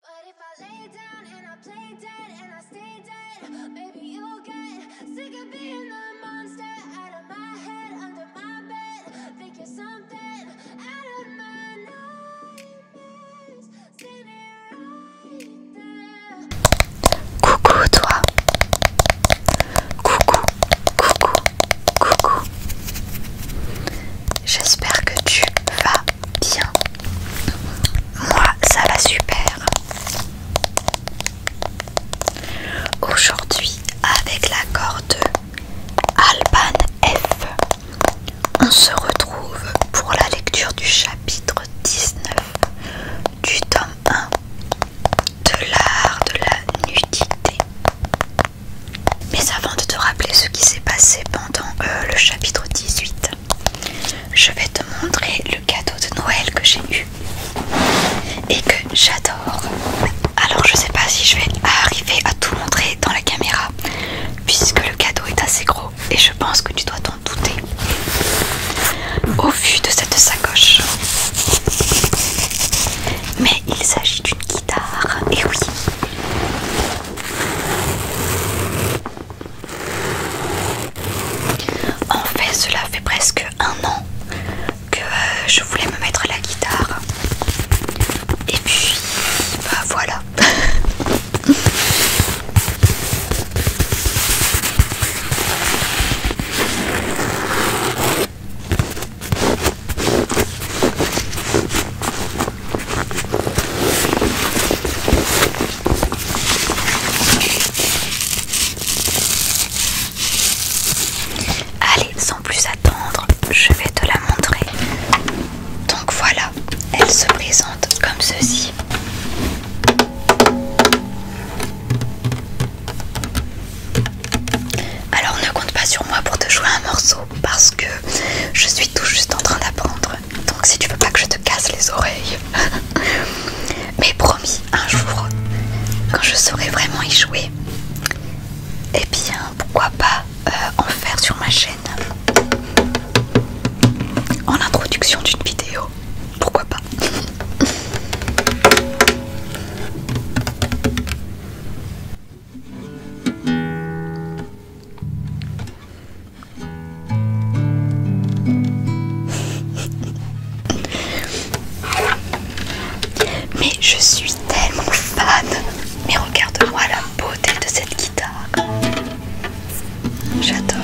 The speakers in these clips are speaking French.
But if I lay down and I play dead and I stay dead, baby you'll get sick of being the monster out of my head, under my bed. Think you're something out of my nightmares. Standing right there. Coucou, toi. Coucou, coucou, coucou. J'espère que tu vas bien. Moi, ça va super. Aujourd'hui, avec l'accord de Alban F, on se retrouve pour la lecture du chapitre 19 du tome 1 de l'art de la nudité. Mais avant de te rappeler ce qui s'est passé dans euh, le chapitre 18, je vais te montrer le cadeau de Noël que j'ai eu et que j'adore. Alors je sais pas si je vais arriver à tout montrer dans la caméra puisque le cadeau est assez gros et je pense que tu dois t'en douter au vu de cette sacoche. Mais il s'agit d'une guitare, et oui, en fait, cela fait presque un an que euh, je voulais me mettre la guitare. Et puis, bah voilà. Allez, sans plus attendre, je vais te la montrer. Donc voilà, elle se présente comme ceci. Alors ne compte pas sur moi pour te jouer un morceau parce que je suis tout juste en train d'apprendre. Donc si tu veux pas que je te casse les oreilles. Mais promis, un jour, quand je saurai vraiment y jouer, eh bien pourquoi pas euh, en faire sur ma chaîne en introduction d'une vidéo. Pourquoi pas Mais je suis tellement fan. Mais regarde-moi la beauté de cette guitare. J'adore.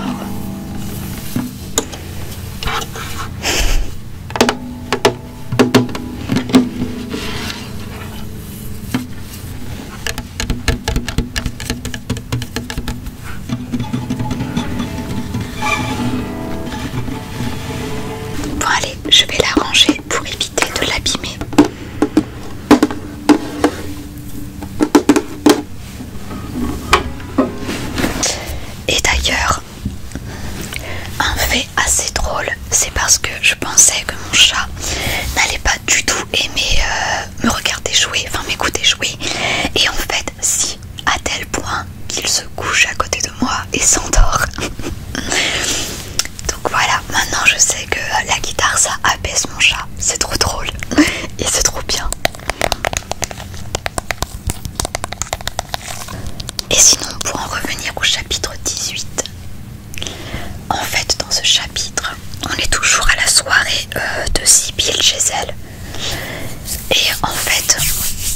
Bon allez, je vais la ranger pour éviter de l'abîmer. Et d'ailleurs, un fait assez drôle, c'est parce que je pensais que mon chat n'allait pas du tout aimé euh, me regarder jouer, enfin m'écouter jouer. Et en fait, si, à tel point qu'il se couche à côté de moi et s'endort. Donc voilà, maintenant je sais que la guitare ça abaisse mon chat, c'est trop drôle et c'est trop bien. Et sinon, pour en revenir au chapitre 18, en fait, dans ce chapitre, on est toujours à la soirée euh, de Sybille chez elle. Et en fait,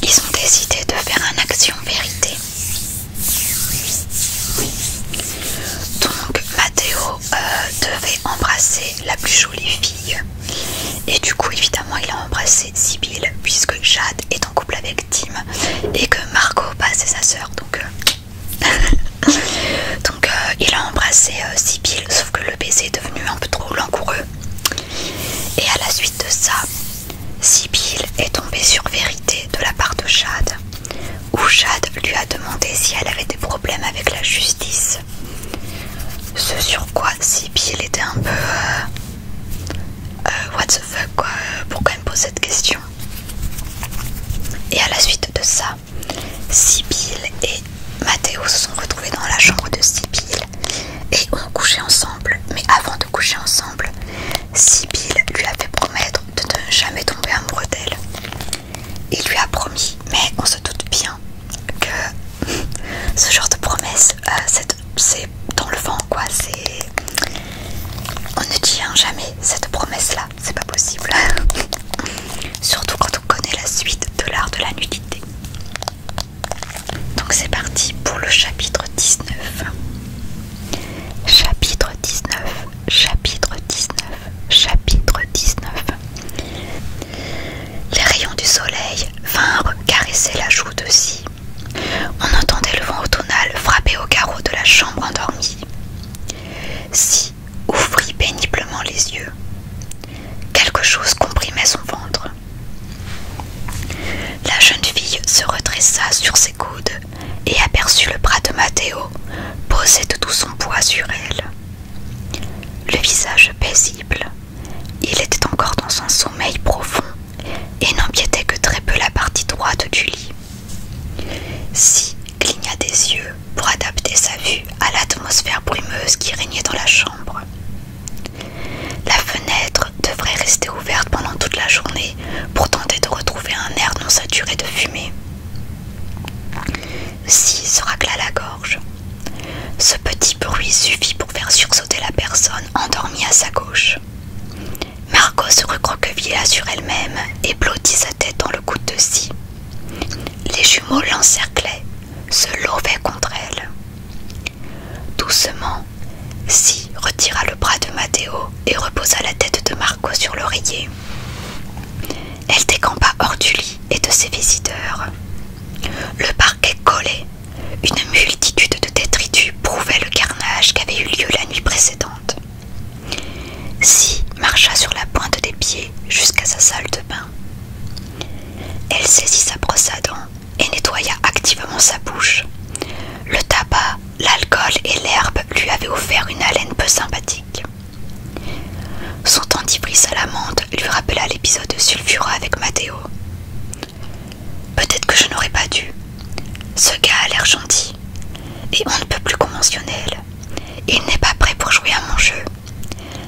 ils ont décidé de faire un action vérité. Donc, Matteo euh, devait embrasser la plus jolie fille. Et du coup, évidemment, il a embrassé Sibylle puisque Jade est en couple avec Tim et que Marco bah, c'est sa soeur, Donc, euh, Donc euh, il a embrassé euh, Sibyl, sauf que le baiser est devenu un peu trop langoureux. Et à la suite de ça, Sibyl est tombée sur Vérité de la part de Chad où Chad lui a demandé si elle avait des problèmes avec la justice. Ce sur quoi Sibyl était un peu... Euh, what the fuck quoi Pourquoi elle me pose cette question et à la suite de ça, Sibyl et Mathéo se sont retrouvés dans la chambre de Sibyl et ont couché ensemble. Mais avant de coucher ensemble, Sibyl lui a fait promettre de ne jamais tomber amoureux d'elle. Il lui a promis, mais on se doute bien que ce genre de promesse, euh, c'est dans le vent quoi. On ne tient jamais cette promesse là c'est pas possible. Surtout quand on connaît la suite de l'art de la nudité. Donc c'est parti pour le chapitre 19. Chapitre 19, chapitre 19, chapitre 19. Les rayons du soleil vinrent caresser la joue de Si. On entendait le vent automnal frapper au carreau de la chambre endormie. Si ouvrit péniblement les yeux. Quelque chose comprimait son ventre. La jeune fille se redressa sur ses coudes et aperçut le bras de Matteo posé de tout son poids sur elle. Le visage paisible, il était encore dans un sommeil profond et n'empiétait que très peu la partie droite du lit. Si cligna des yeux pour adapter sa vue à l'atmosphère brumeuse qui régnait dans la chambre. La fenêtre devrait rester ouverte pendant toute la journée pour tenter de retrouver un air non saturé de fumée. Si se racla la gorge. Ce petit bruit suffit pour faire sursauter la personne endormie à sa gauche. Marco se recroquevilla sur elle-même et blottit sa tête dans le coude de Si. Les jumeaux l'encerclaient, se levaient contre elle. Doucement, Si retira le bras de Matteo et reposa la tête de Marco sur l'oreiller. Elle décampa hors du lit et de ses visiteurs. Le parquet collé, Une multitude de détritus prouvait le carnage qui avait eu lieu la nuit précédente. Si marcha sur la pointe des pieds jusqu'à sa salle de bain. Elle saisit sa brosse à dents et nettoya activement sa bouche. Le tabac, l'alcool et l'herbe lui avaient offert une haleine peu sympathique. Son dentifrice à lui rappela l'épisode de Sulfura avec Matteo. Peut-être que je n'aurais pas dû. Ce gars a l'air gentil et on ne peut plus conventionnel. Il n'est pas prêt pour jouer à mon jeu.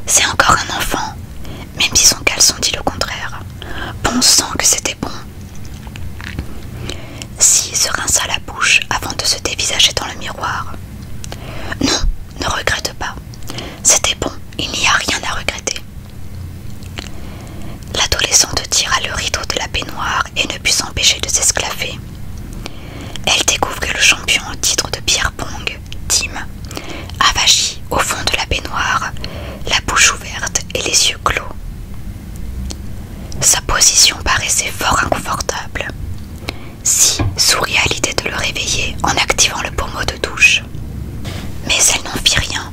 C'est encore un enfant, même si son caleçon dit le contraire. Bon sang que c'était bon. Si se rinça la bouche avant de se dévisager dans le miroir. Non, ne regrette pas. C'était bon, il n'y a rien à regretter. L'adolescente tira le rideau de la baignoire et ne put s'empêcher de s'esclaffer. Elle découvre que le champion au titre de Pierre Pong, Tim, avachi au fond de la baignoire, la bouche ouverte et les yeux clos. Sa position paraissait fort inconfortable. Si souria à l'idée de le réveiller en activant le pommeau de douche. Mais elle n'en fit rien.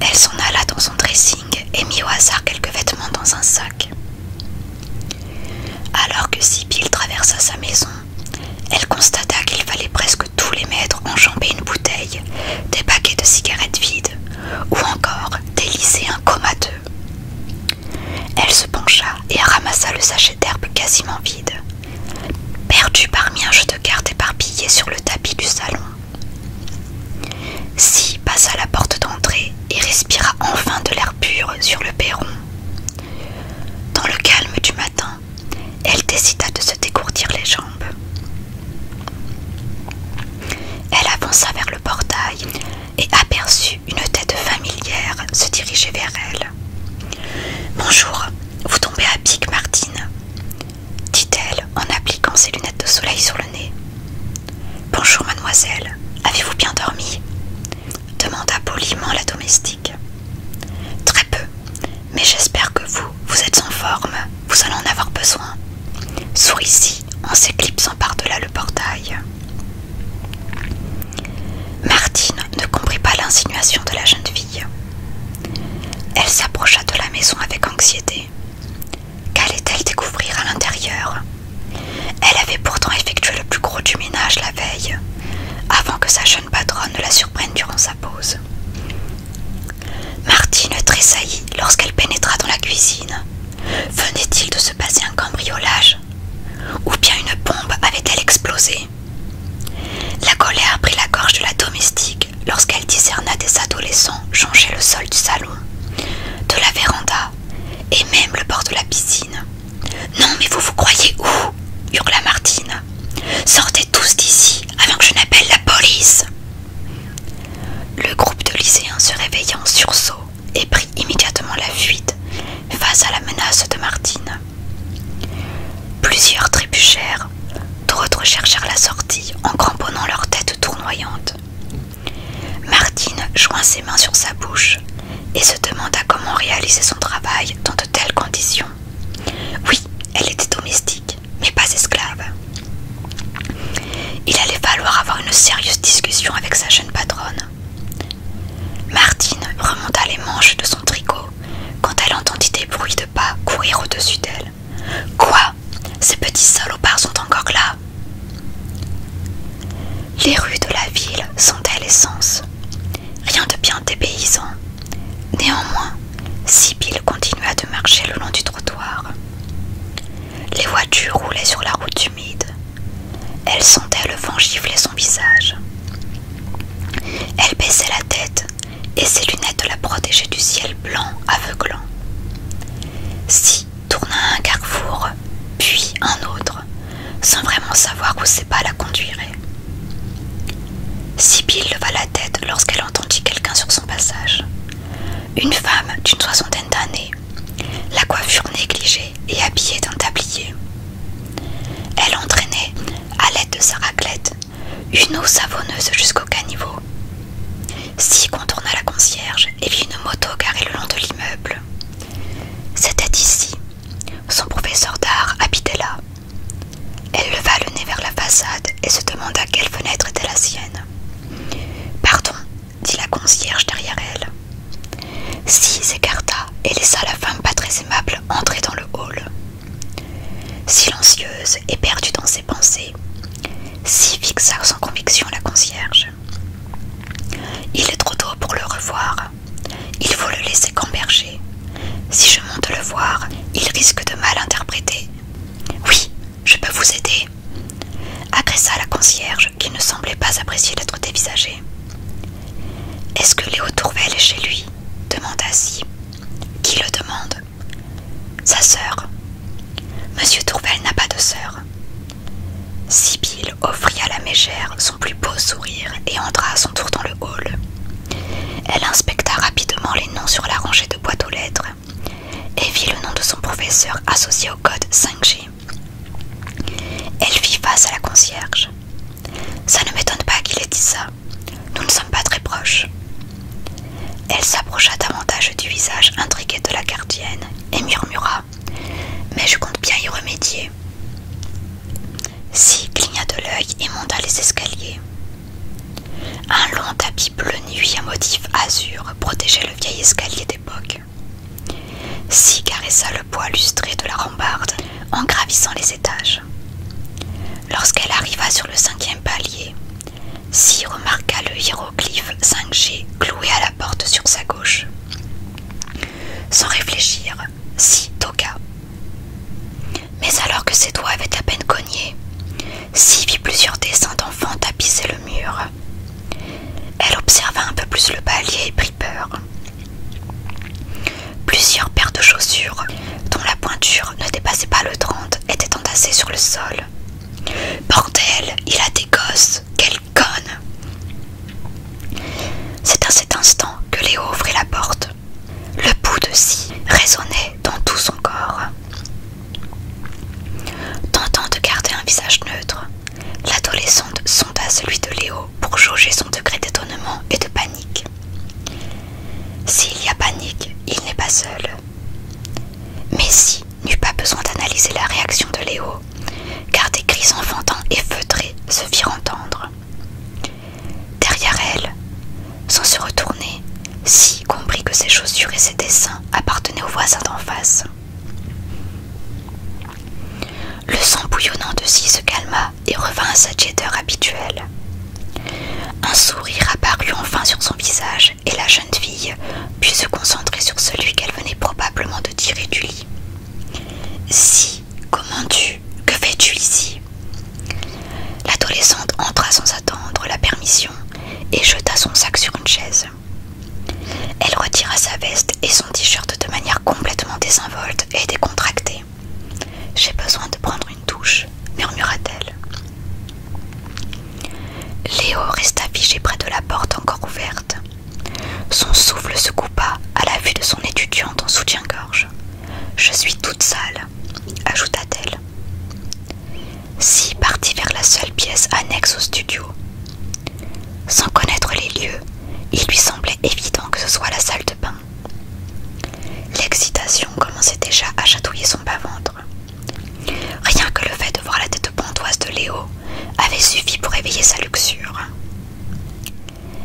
Elle s'en alla dans son dressing et mit au hasard quelques vêtements dans un sac. Alors que Sibyl traversa sa maison, elle constata qu'il fallait presque tous les mètres enjamber une bouteille, des paquets de cigarettes vides, ou encore délisser un coma comateux. Elle se pencha et ramassa le sachet d'herbe quasiment vide, perdu parmi un jeu de cartes éparpillé sur le tapis du salon. Si passa la porte d'entrée et respira enfin de l'air pur sur le perron. Dans le calme du matin, elle décida de se dégourdir les jambes. Elle avança vers le portail et aperçut une tête familière se diriger vers elle. Bonjour, vous tombez à pic, Martine, dit-elle en appliquant ses lunettes de soleil sur le nez. Bonjour, mademoiselle, avez-vous bien dormi demanda poliment la domestique. Très peu, mais j'espère que vous, vous êtes en forme, vous allez en avoir besoin. souris ici en s'éclipsant par-delà le portail. Martine ne comprit pas l'insinuation de la jeune fille. Elle s'approcha de la maison avec anxiété. Qu'allait-elle découvrir à l'intérieur Elle avait pourtant effectué le plus gros du ménage la veille, avant que sa jeune patronne ne la surprenne durant sa pause. Martine tressaillit lorsqu'elle pénétra dans la cuisine. Venait-il de se passer un cambriolage Ou bien une bombe avait-elle explosé La colère prit la gorge de la domestique lorsqu'elle discerna des adolescents changer le sol du salon, de la véranda et même le bord de la piscine. Non, mais vous vous croyez où hurla Martine. Sortez tous d'ici avant que je n'appelle la police. Le groupe de lycéens se réveilla en sursaut et prit immédiatement la fuite face à la menace de Martine. Plusieurs trébuchèrent, d'autres cherchèrent la sortie en cramponnant leur tête tournoyantes. Martine joint ses mains sur sa bouche et se demanda comment réaliser son travail dans de telles conditions. Oui, elle était domestique, mais pas esclave. Il allait falloir avoir une sérieuse discussion avec sa jeune patronne. Martine remonta les manches de son tricot quand elle entendit des bruits de pas courir au-dessus d'elle. Quoi ces petits salopards sont encore là Les rues de la ville sentaient l'essence. Rien de bien dépaysant. Néanmoins, Sibyl continua de marcher le long du trottoir. Les voitures roulaient sur la route humide. Elle sentait le vent gifler son visage. Elle baissait la tête et ses lunettes la protégeaient du ciel blanc aveuglant. Si tourna un carrefour, puis un autre, sans vraiment savoir où ses pas la conduiraient. Sibyl leva la tête lorsqu'elle entendit quelqu'un sur son passage. Une femme d'une soixantaine d'années, la coiffure négligée et habillée d'un tablier. Elle entraînait, à l'aide de sa raclette, une eau savonneuse jusqu'au caniveau. Si contourna la concierge et vit une moto garée le long de l'immeuble. C'était ici. Son professeur d'art habitait là. Elle leva le nez vers la façade et se demanda quelle fenêtre était la sienne. Pardon, dit la concierge derrière elle. Si s'écarta et laissa la femme pas très aimable entrer dans le hall. Silencieuse et perdue dans ses pensées, si fixa sans conviction la concierge. Il est trop tôt pour le revoir. Il faut le laisser camberger. Si je monte le voir, il risque de mal interpréter. Oui, je peux vous aider, agressa la concierge qui ne semblait pas apprécier d'être dévisagée. Est-ce que Léo Tourvel est chez lui demanda Si. Qui le demande sa sœur. Monsieur Tourvel n'a pas de sœur. Sibylle offrit à la mégère son plus beau sourire et entra à son tour dans le hall. Elle inspecta rapidement les noms sur la rangée de boîtes aux lettres et vit le nom de son professeur associé au code 5G. Elle fit face à la concierge. Ça ne m'étonne pas qu'il ait dit ça. Nous ne sommes pas très proches. Elle s'approcha davantage du visage intrigué de la gardienne et murmura Mais je compte bien y remédier. Si cligna de l'œil et monta les escaliers. Un long tapis bleu nuit à motif azur protégeait le vieil escalier d'époque. Si caressa le poids lustré de la rambarde en gravissant les étages. Lorsqu'elle arriva sur le cinquième palier, si remarqua le hiéroglyphe 5G cloué à la porte sur sa gauche. Sans réfléchir, Si toqua. Mais alors que ses doigts avaient à peine cogné, Si vit plusieurs dessins d'enfants tapisser le mur. Elle observa un peu plus le palier et prit peur. Plusieurs paires de chaussures, dont la pointure ne dépassait pas le 30, étaient entassées sur le sol Bordel, il a des gosses, quelle conne C'est à cet instant que Léo ouvrit la porte. Le bout de scie résonnait dans tout son corps. Tentant de garder un visage neutre, l'adolescente sonda celui de Léo pour jauger son degré d'étonnement et de panique. S'il y a panique, il n'est pas seul. Mais si, n'eut pas besoin d'analyser la réaction de Léo, car des cris enfantins et feutrés se firent entendre. Derrière elle, sans se retourner, Si comprit que ses chaussures et ses dessins appartenaient aux voisins d'en face. Le sang bouillonnant de Si se calma et revint à sa jetteur habituelle. Un sourire apparut enfin sur son visage et la jeune fille put se concentrer sur celui qu'elle venait probablement de tirer du lit. Si, comment tu Que fais-tu ici L'adolescente entra sans attendre la permission et jeta son sac sur une chaise. Elle retira sa veste et son t-shirt de manière complètement désinvolte et décontractée. J'ai besoin de prendre une douche, murmura-t-elle. Léo resta figé près de la porte encore ouverte. Son souffle se coupa à la vue de son étudiante en soutien-gorge. Je suis toute sale, ajouta-t-elle. Si partit vers la seule pièce annexe au studio. Sans connaître les lieux, il lui semblait évident que ce soit la salle de bain. L'excitation commençait déjà à chatouiller son bas-ventre. Rien que le fait de voir la tête pantoise de Léo avait suffi pour éveiller sa luxure.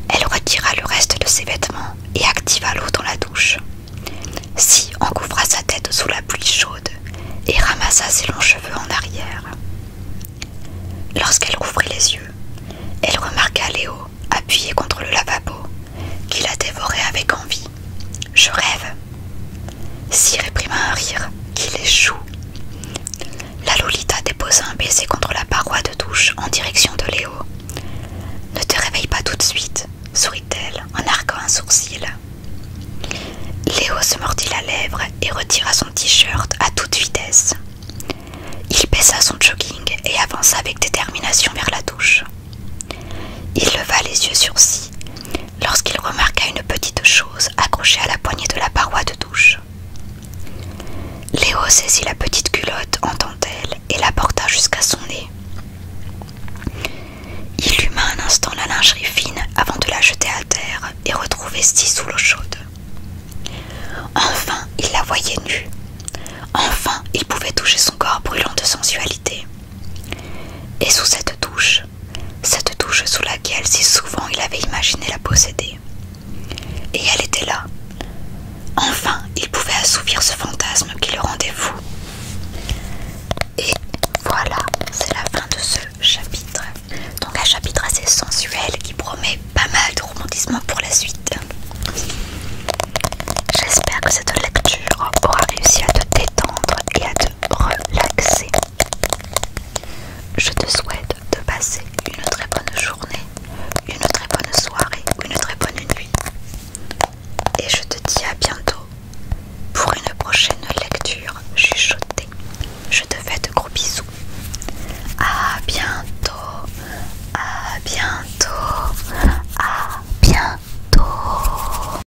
Elle retira le reste de ses vêtements et activa l'eau dans la douche. Si encouvra sa tête sous la pluie chaude et ramassa ses longs cheveux en arrière. Lorsqu'elle rouvrit les yeux, elle remarqua Léo appuyé contre le lavabo, qui la dévorait avec envie. Je rêve, si réprima un rire qui échoue. La Lolita déposa un baiser contre la paroi de douche en direction de Léo. Ne te réveille pas tout de suite, sourit-elle en arquant un sourcil. Léo se mordit la lèvre et retira son t-shirt à toute vitesse. Il baissa son jogging et avança avec détermination vers la douche. Il leva les yeux sur Si lorsqu'il remarqua une petite chose accrochée à la poignée de la paroi de douche. Léo saisit la petite culotte en dentelle et la porta jusqu'à son nez. Il huma un instant la lingerie fine avant de la jeter à terre et retrouver scie sous l'eau chaude. Enfin, il la voyait nue. Enfin, il pouvait toucher son corps brûlant de sensualité. Et sous cette touche, cette touche sous laquelle si souvent il avait imaginé la posséder. Et elle était là. Enfin, il pouvait assouvir ce fantasme qui le rendait fou. Et voilà, c'est la fin de ce chapitre. Donc un chapitre assez sensuel qui promet pas mal de romantisme pour la suite. J'espère que cette lecture aura réussi à te détendre et à te relaxer. Je te souhaite de passer une très bonne journée, une très bonne soirée une très bonne nuit. Et je te dis à bientôt pour une prochaine lecture chuchotée. Je te fais de gros bisous. À bientôt, à bientôt, à bientôt.